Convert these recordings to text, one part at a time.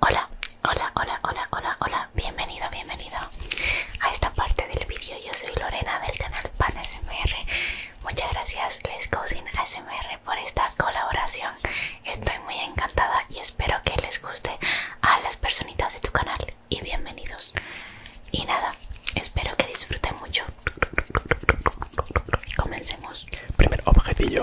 Hola, hola, hola, hola, hola, hola, bienvenido, bienvenido a esta parte del vídeo. Yo soy Lorena del canal Pan ASMR. Muchas gracias, Les Cousin ASMR, por esta colaboración. Estoy muy encantada y espero que les guste a las personitas de tu canal. Y bienvenidos. Y nada, espero que disfruten mucho comencemos. Primer objetillo.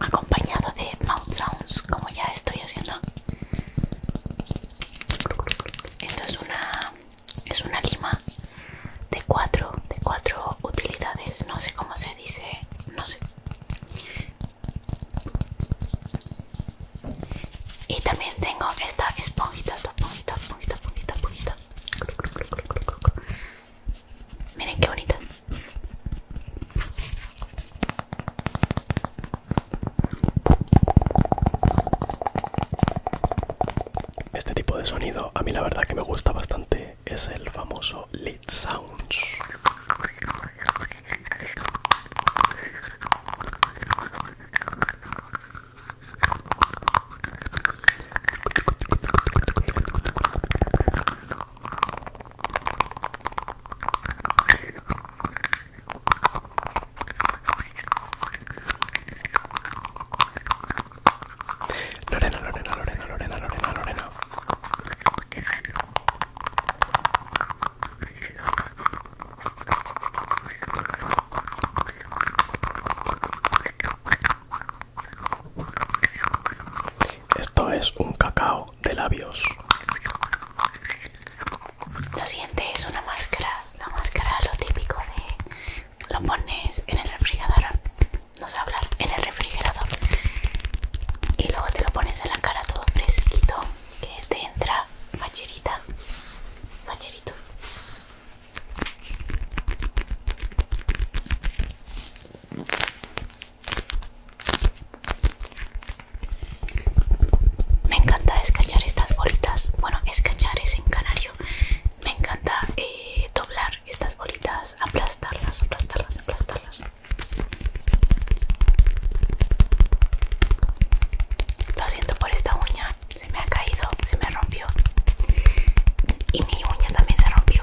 acompañado de mouth sounds como ya estoy haciendo esto es una es una lima de cuatro de cuatro utilidades no sé cómo se dice no sé y también tengo esta esponjita, esponjita, esponjita, esponjita, esponjita. Miren qué bonita. Este tipo de sonido a mí la verdad que me gusta bastante es el famoso Lead Sounds. Lorena, Lorena, Lorena, Lorena, Lorena, Lorena. Esto es un cacao de labios. Lo siguiente es una máscara. La máscara, lo típico de. Lo pones en el refrigerador. No sé hablar, en el refrigerador. Y luego te lo pones en la cara todo fresquito que te entra facherita, facherito. Me encanta escachar estas bolitas. Bueno, escachar es en canario. Me encanta eh, doblar estas bolitas, aplastarlas, aplastarlas, aplastarlas. Lo siento por esta uña, se me ha caído, se me rompió. Y mi uña también se rompió.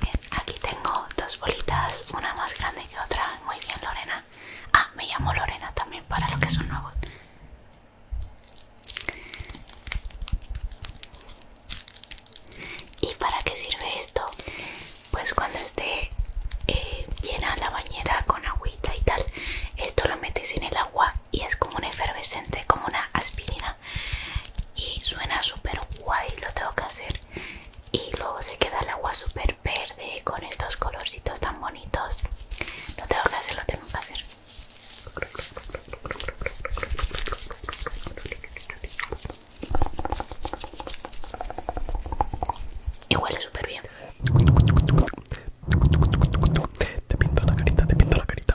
Bien, aquí tengo dos bolitas, una más grande que otra. Muy bien, Lorena. Ah, me llamo Lorena también para los que son nuevos. ¿Y para qué sirve esto? Pues cuando esté eh, llena la bañera con agüita y tal, esto lo metes en el agua y es como un efervescente, como una aspirina y suena súper guay, lo tengo que hacer y luego se queda el agua súper verde con estos colorcitos tan bonitos lo tengo que hacer, lo tengo que hacer y huele súper bien te pinto la carita, te pinto la carita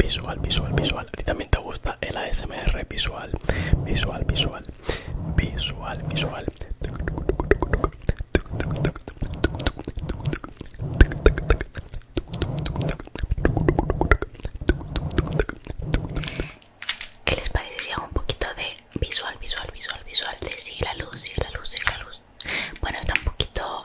visual, visual, visual. A ti también te gusta el ASMR visual, visual, visual, visual, visual. ¿Qué les parece si hago un poquito de visual, visual, visual, visual? De si la luz, si la luz, si la luz. Bueno, está un poquito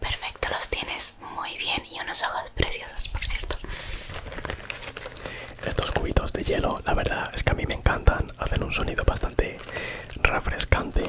Perfecto, los tienes muy bien y unos ojos preciosos, por cierto. Estos cubitos de hielo, la verdad es que a mí me encantan, hacen un sonido bastante refrescante.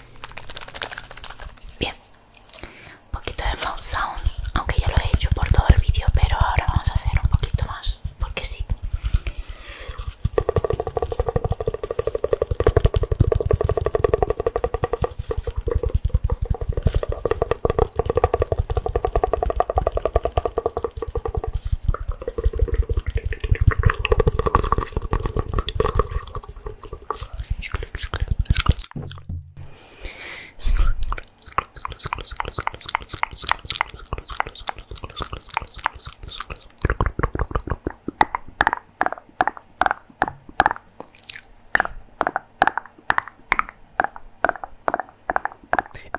Bien, un poquito de mouth sounds, aunque ya lo he hecho por todo el vídeo, pero ahora vamos a hacer un poquito más, porque sí.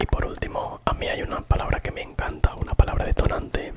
Y por último, a mí hay una palabra que me encanta, una palabra detonante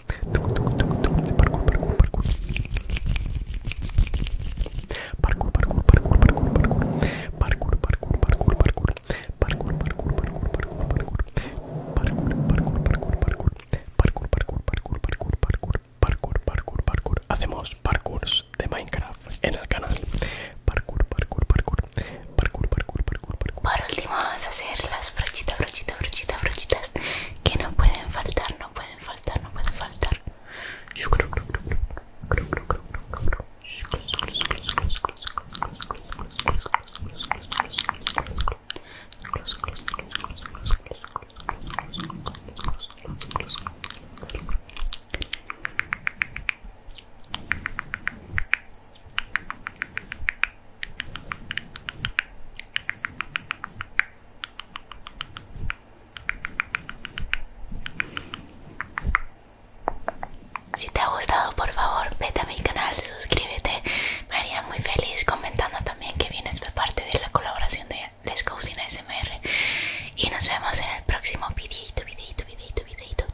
parkour, parkour, parkour. Parkour, parkour, parkour, parkour, parkour. Parkour, parkour, parkour, parkour. Parkour, parkour, parkour, parkour, parkour. Parkour, parkour, parkour, parkour. Parkour, parkour, parkour, parkour, parkour. Parkour, parkour, parkour. Hacemos parkour de Minecraft en el canal. Parkour, parkour, parkour. Por último vamos a hacer las brochitas, brochitas, brochitas, brochitas que no pueden faltar, no pueden faltar, no pueden faltar. Si te ha gustado, por favor, vete a mi canal, suscríbete. Me haría muy feliz comentando también que vienes de parte de la colaboración de Les Cocina SMR. Y nos vemos en el próximo videito, videito, videito, videito.